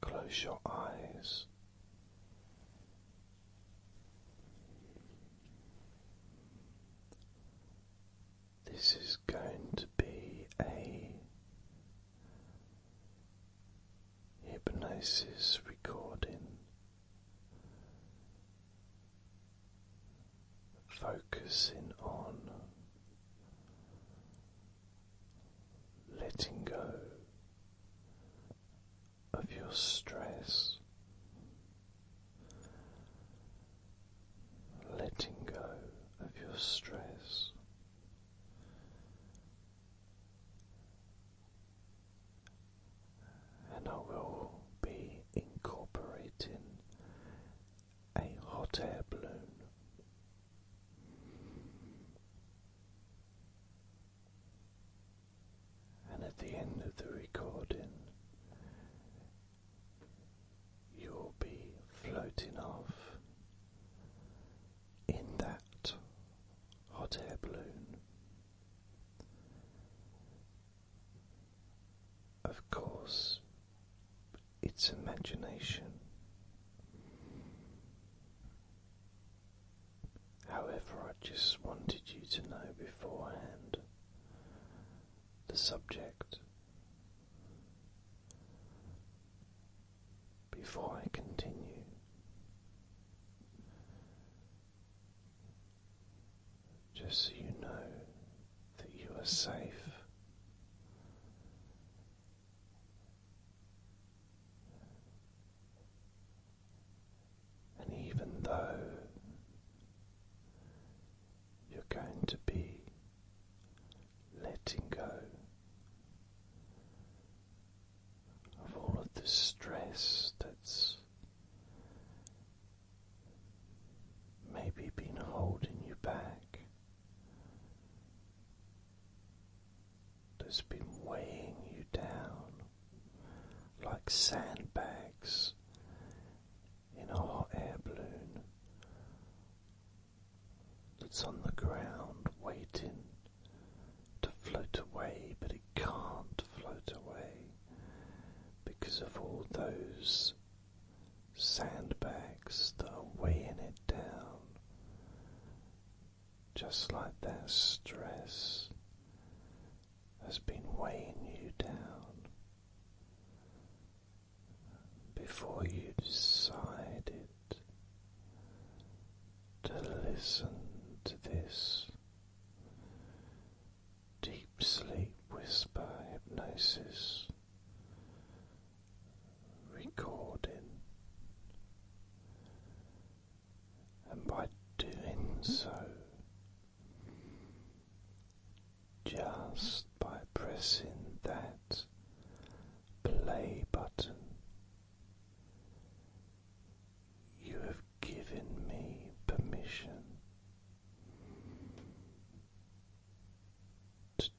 Close your eyes. This is going to be a hypnosis recording. Focusing on letting go of your stress, letting go of your stress. And I will be incorporating a hot air balloon and at the end of the recording, you'll be floating off in that hot air balloon. Of course, its imagination. However, I just wanted you to know beforehand the subject before I continue. Just so you know that you are safe and even though you're going to be letting go of all of the stress that's maybe been holding you back that's been weighing you down like sandbags in a hot air balloon that's on the ground waiting to float away, but it can't float away because of all those sandbags that are weighing it down, just like that stress has been weighing you down. Before you decided to listen to this deep sleep whisper hypnosis recording, and by doing so, just by pressing that play button. You have given me permission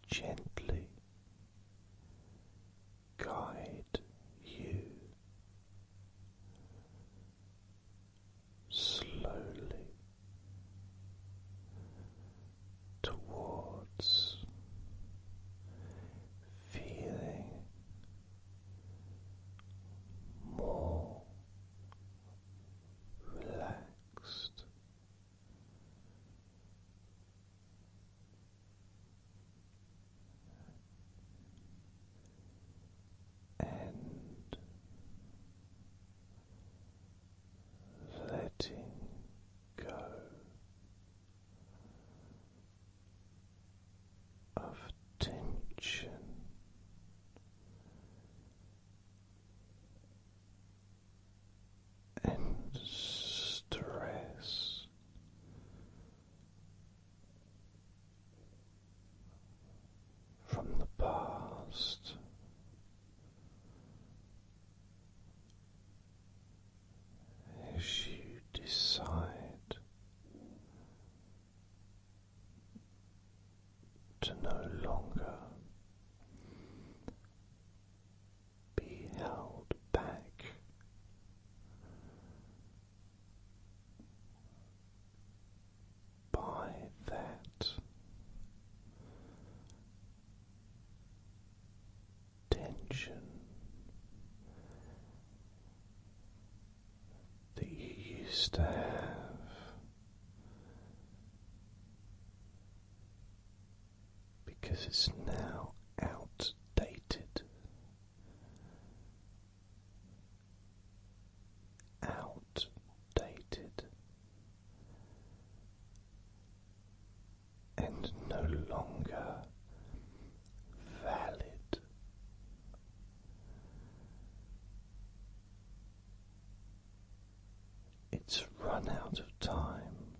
gently guide you slowly towards feeling more relaxed and letting go of tension and stress. From the past as you decide to no longer be held back. By that tension that you used to have because it's now outdated. Outdated and no longer valid it's run out of time,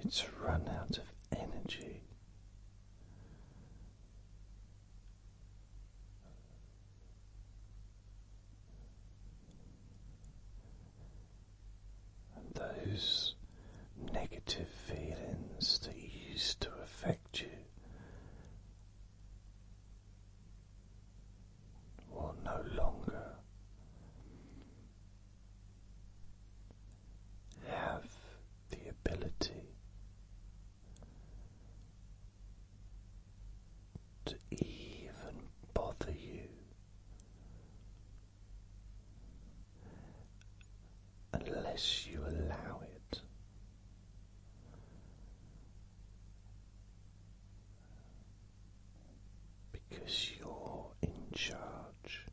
it's run out of energy. And those negative feelings that used to affect you Will no longer have the ability to even bother you unless you allow it because you're in charge.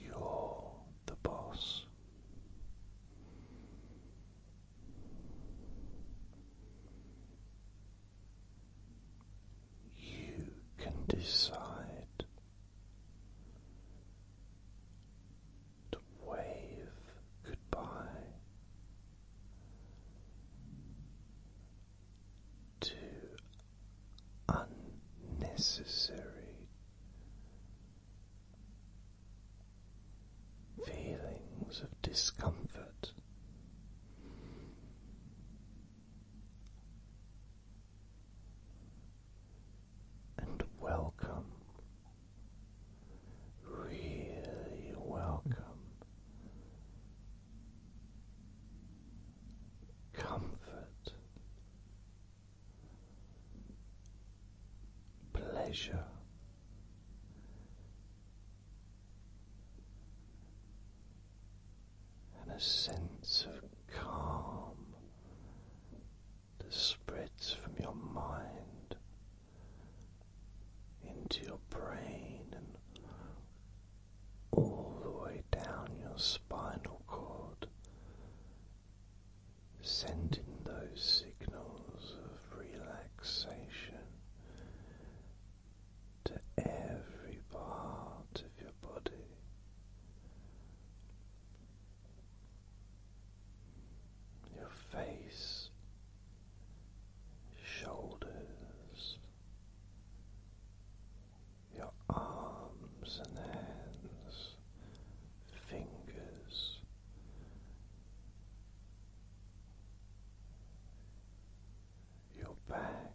You're the boss you can decide to wave goodbye to unnecessary feelings of discomfort and welcome, really welcome. Comfort, pleasure, and a sense of calm that spreads from your mind into your brain and all the way down your spinal cord, sending those signals of relaxation to every part your body. Your face, shoulders, your arms and hands, fingers, your back,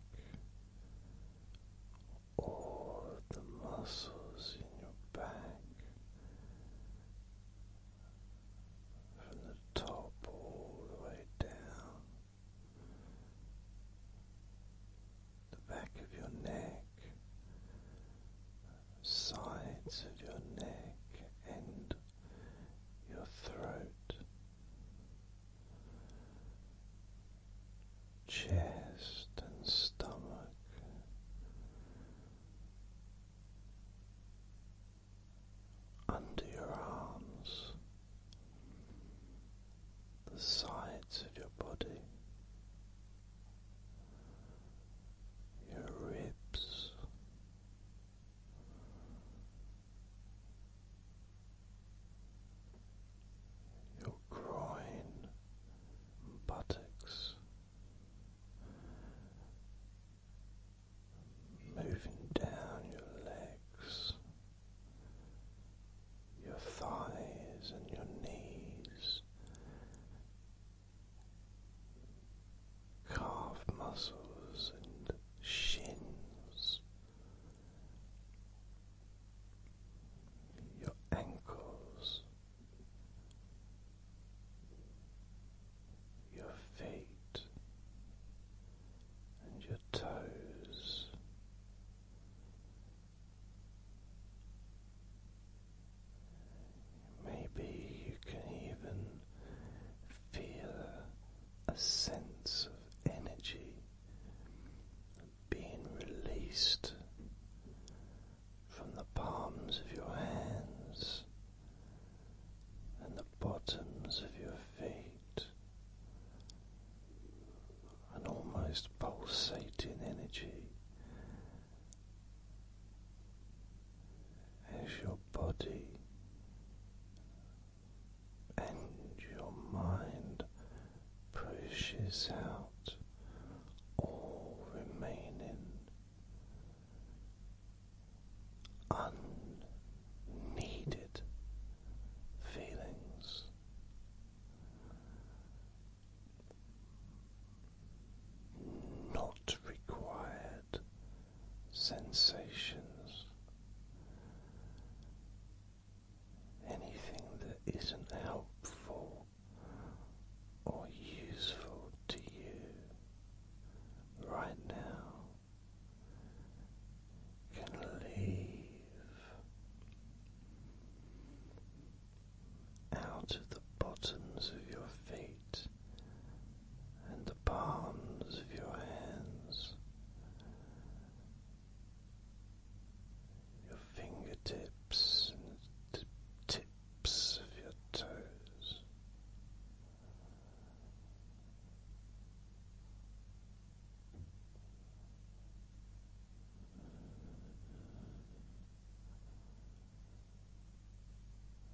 all the muscles in your back from the top all the way down the back of your neck, sides of your neck, and your throat chest and stomach. Under your arms, the sides of your body, your ribs, your groin and buttocks moving down your legs, your thighs and your knees, calf muscles and shins your ankles, your feet, and your toes. Maybe you can even feel a sense of energy being released from the palms of your hands and the bottoms of your feet, an almost pulsating energy as your body and your mind pushes out all remaining unneeded feelings. Not required sensations anything that isn't helpful or useful to you right now can leave out of the bottoms of your feet and the palms of your hands your fingertips and the tips of your toes.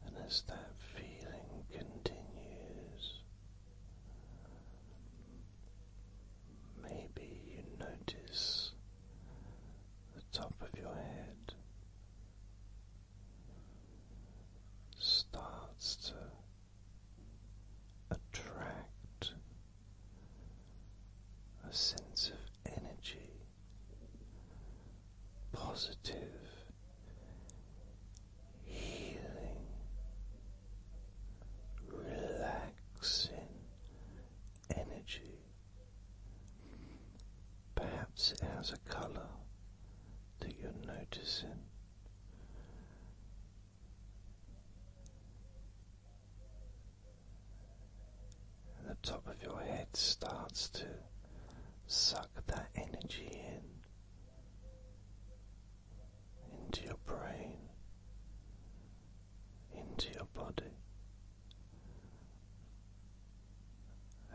And as that feeling continues, Maybe you notice the top of your head starts to attract a sense of energy, positive, healing relaxing energy. Perhaps it has a color that you're noticing. And the top of your head starts to suck that energy in into your brain, into your body,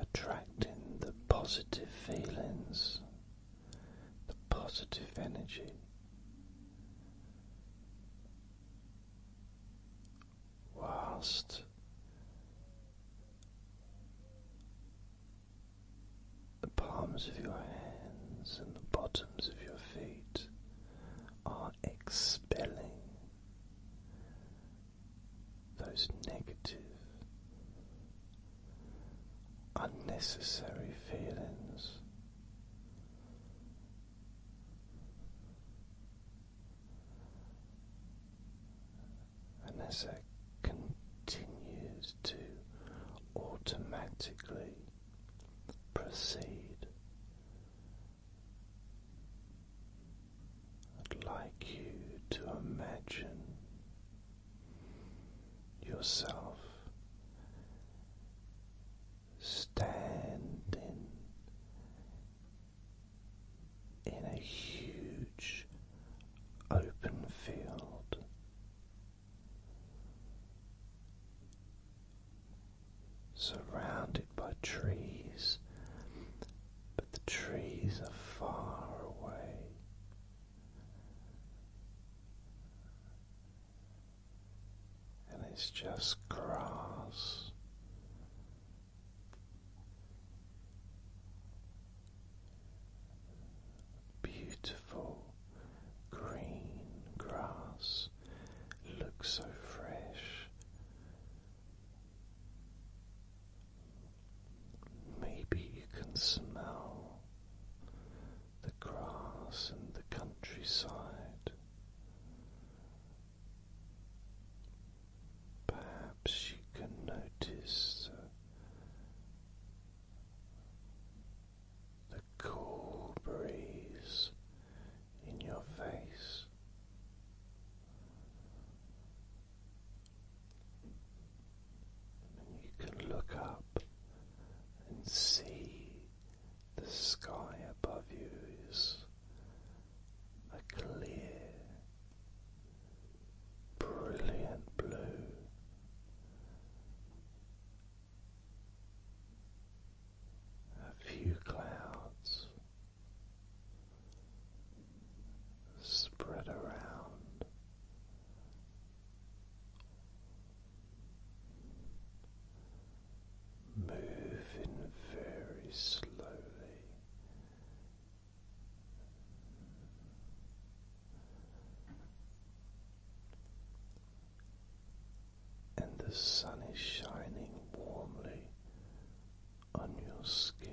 attracting the positive feelings, the positive energy. Whilst the palms of your hands and the bottoms of your feet are expelling those negative, unnecessary feelings. And as that continues to automatically proceed. I'd like you to imagine yourself standing in a huge open field surrounded by trees, but the trees are far away. And it's just grass. Beautiful green grass looks so fresh. Maybe you can smell the grass and the countryside. Perhaps you can notice the cool breeze in your face. you can look up and see the sky above you is a clear, brilliant blue a few clouds spread around. Moving very slowly and the sun is shining warmly on your skin.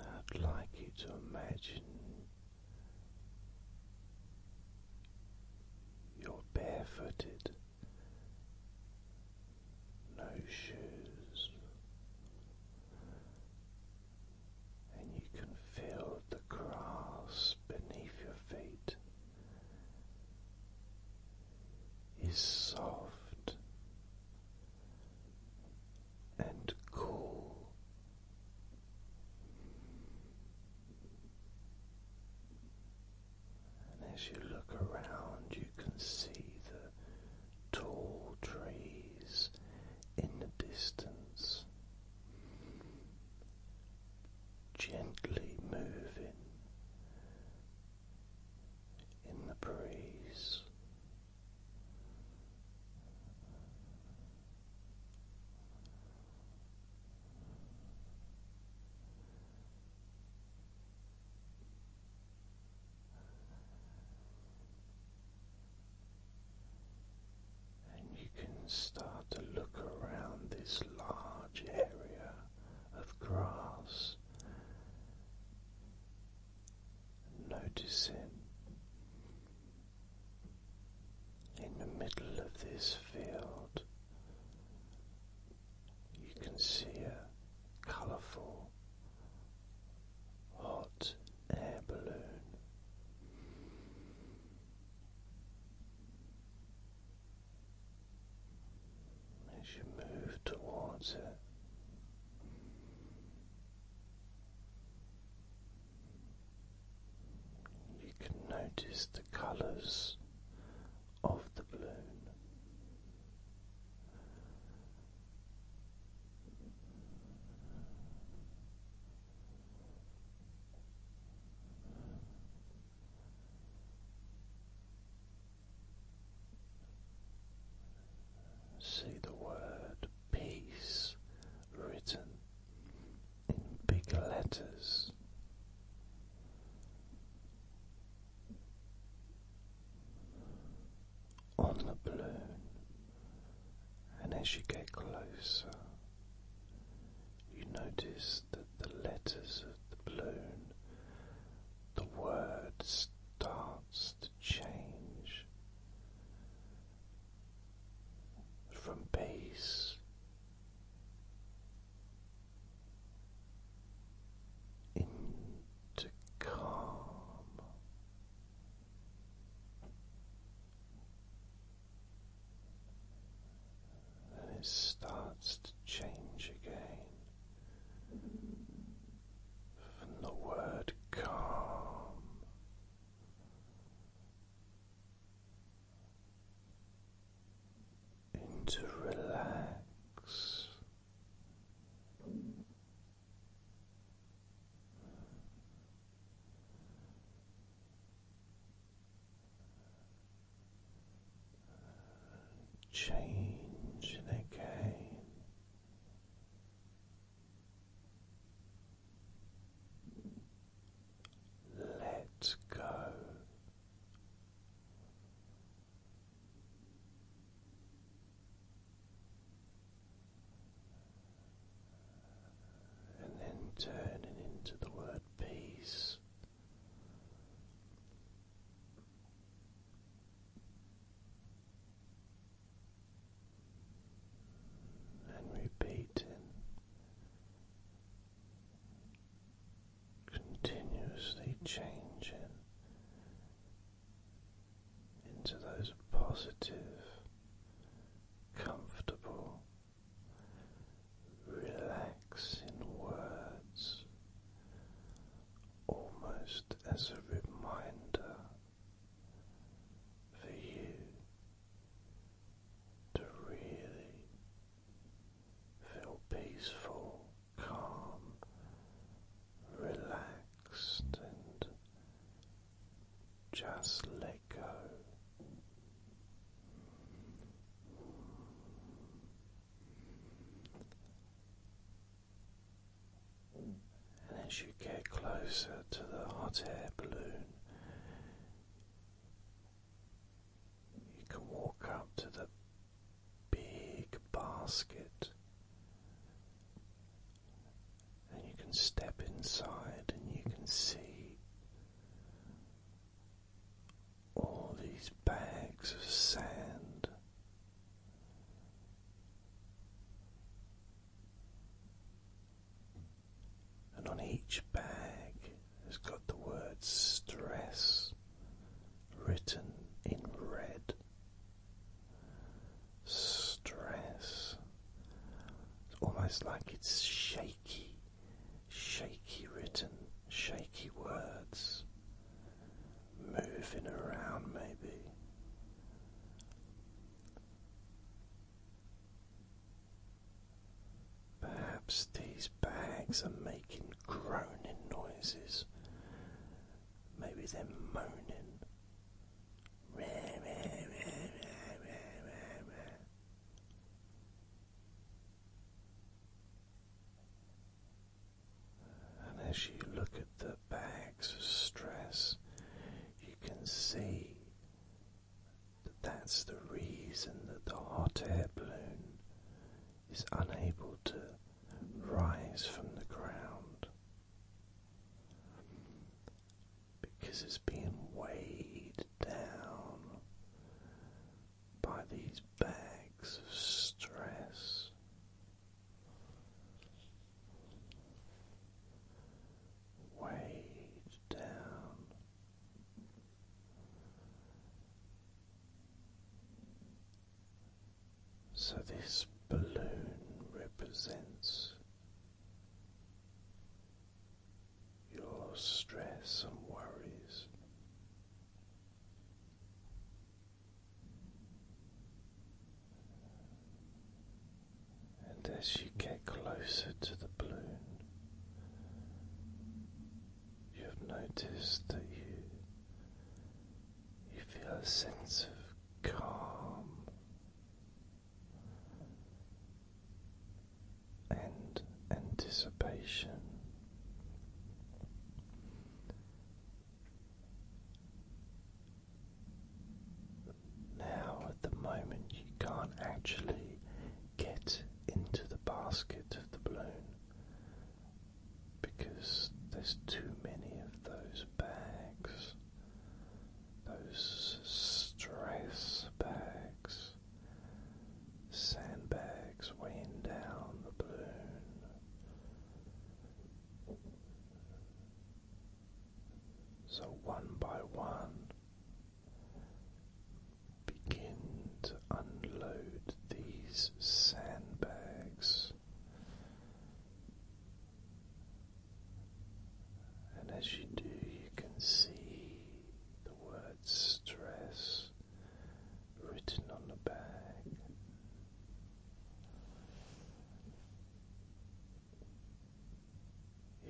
I'd like you to imagine you're barefooted, no shoes, and you can feel the grass beneath your feet is soft and cool. And as you look around, you can see the tall trees in the distance gently moving in the breeze. And you can start to look around this large area of grass, noticing in the middle of this field you can see a colourful hot air balloon. As you move towards it, you can notice the colors of the balloon. See the word peace written in big letters. On the balloon, and as you get closer, you notice that the letters of the balloon, the word starts to change from peace into calm. And it starts to change again from the word calm to relax. Changing again. Let go. And then turning into the word peace. And repeating continuously changing into those positive, comfortable, relaxing words, almost as a reminder for you to really Feel peaceful, calm, relaxed, and just let go. And as you get closer to the hot air balloon, you can walk up to the big basket and you can step inside and you can see all these bags of sand and on each bag has got the word stress written in red. Stress. almost like it's shaky, shaky written, shaky words moving around, maybe. Perhaps these bags are making groaning noises. Maybe they're moaning. And as you look at the bags of stress, you can see that that's the reason that the hot air balloon is unable to rise from the ground because it's being weighed down by these bags of stress. Weighed down so, this balloon represents your stress and worries. And as you get closer to the balloon, you have noticed that you you feel a sense of calm and anticipation. Now, at the moment, you can't actually get into the basket of the balloon because there's too many of those bags, those stress bags, sandbags weighing down the balloon. So, one by one, Begin to unload these sandbags, and as you do, you can see the word stress written on the bag.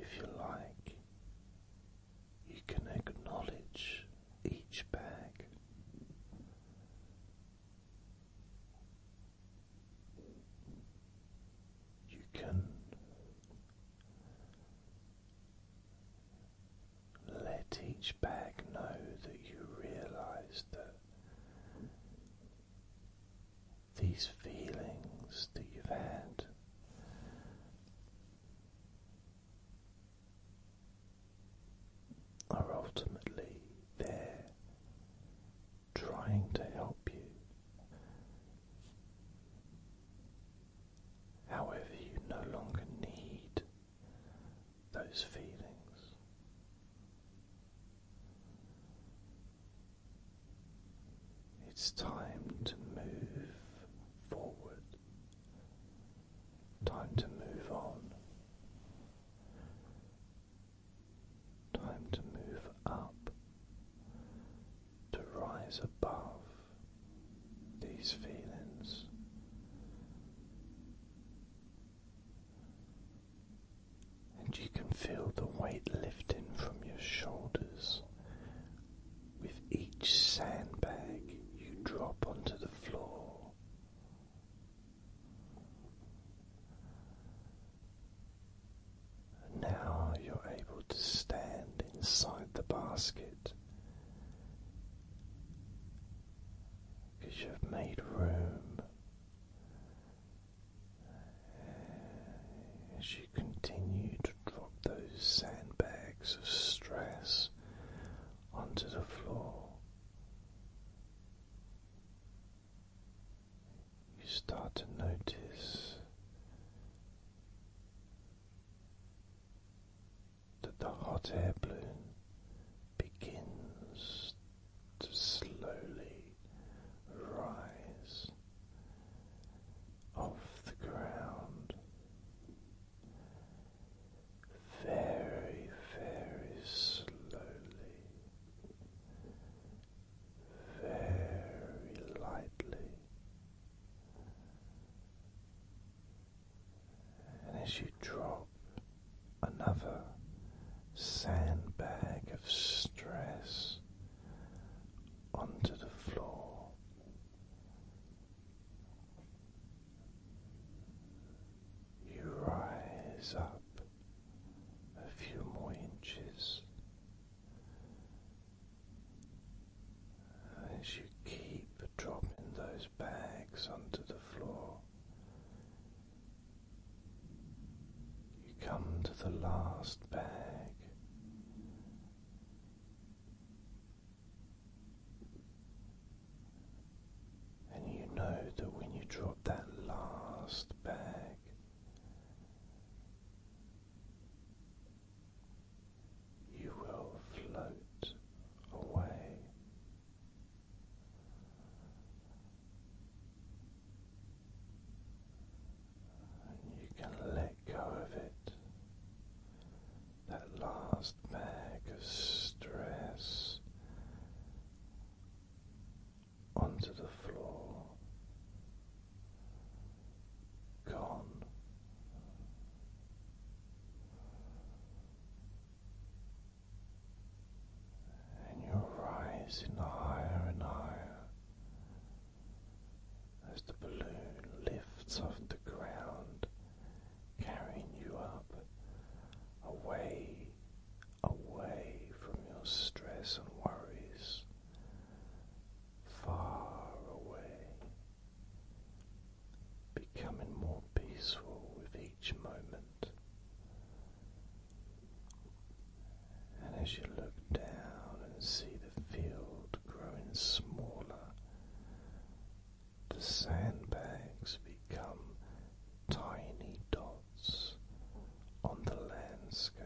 If you like, you can acknowledge each bag. You can let each bag know that you realize that these feelings that you've had are ultimately there trying to help you. However, you no longer need those feelings. It's time to move forward. Time to move on. Time to move up. To rise above these feelings. And you can feel the weight lifting from your shoulders with each sandbag you drop onto the floor. Now you're able to stand inside the basket because you've made room you continue to drop those sandbags of stress onto the floor, you start to notice that the hot air balloon begins to slowly rise off the ground. Very, very slowly, very lightly, and as you drop another sandbag of stress onto the floor. You rise up a few more inches as you keep dropping those bags onto the floor. You come to the last bag and you know that when you drop that last bag, you will float away and you can let go of it. That last bag of stress onto the floor, gone. And you're rising higher and higher as the balloon lifts off the ground, carrying you up, away, away from your stress and worries, far away, becoming more peaceful with each moment. And as you look down and see the field growing smaller. The sandbags become tiny dots on the landscape.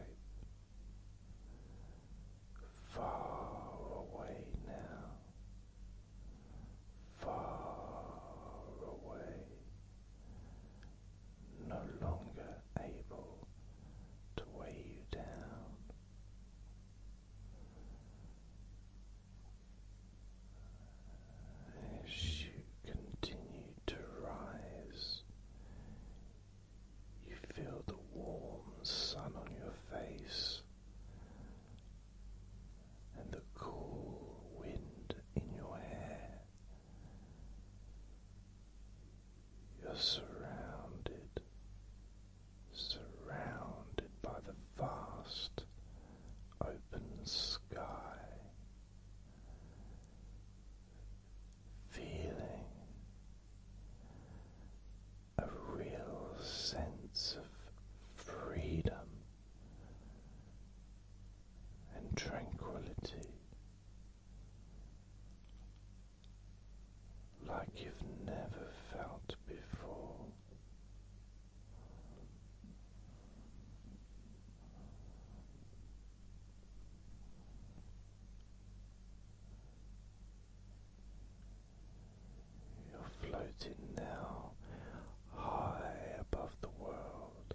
Far away now, far away, no longer able to weigh you down. As you continue to rise, you feel the warm sun on your face and the cool wind in your hair. You're surrounded, surrounded by the vast open sky, feeling a real sense of freedom and tranquility like you've never felt before. You're floating now high above the world,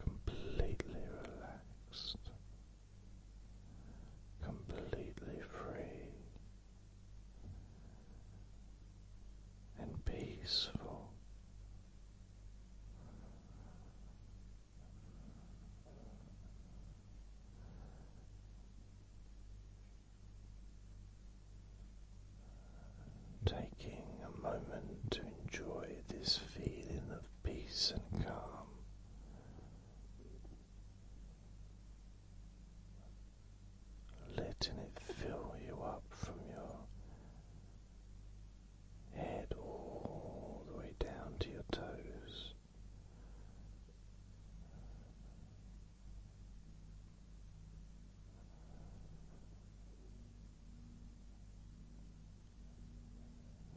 completely relaxed completely free and peaceful. Taking a moment to enjoy this feeling of peace and calm letting it fill you up from your head all the way down to your toes.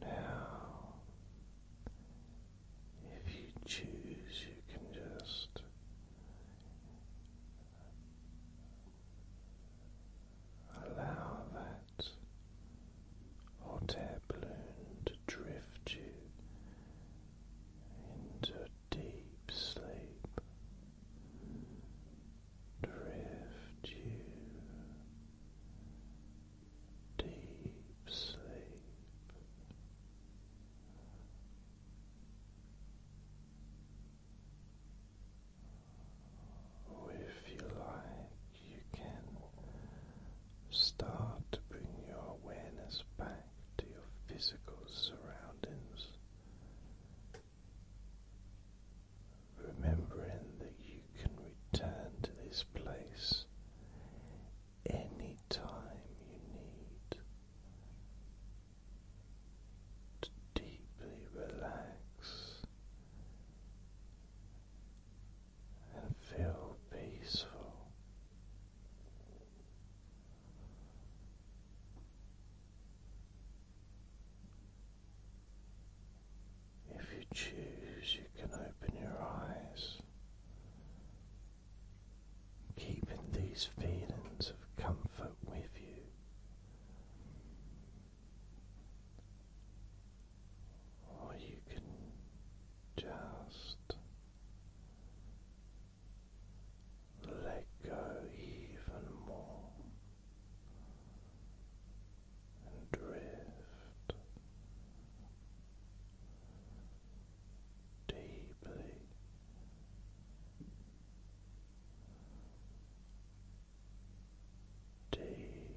Now, if you choose, you can just allow that hot air balloon to drift you into deep sleep. Drift you deep sleep. if you like, you can start to bring your awareness back to your physical surroundings remembering that you can return to this place any time you need to deeply relax and feel peaceful. If you choose, you can open your eyes. Keeping these feelings of comfort with you. Or you can just let go even more and drift deeply deeply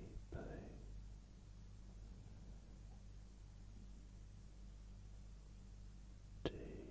deeply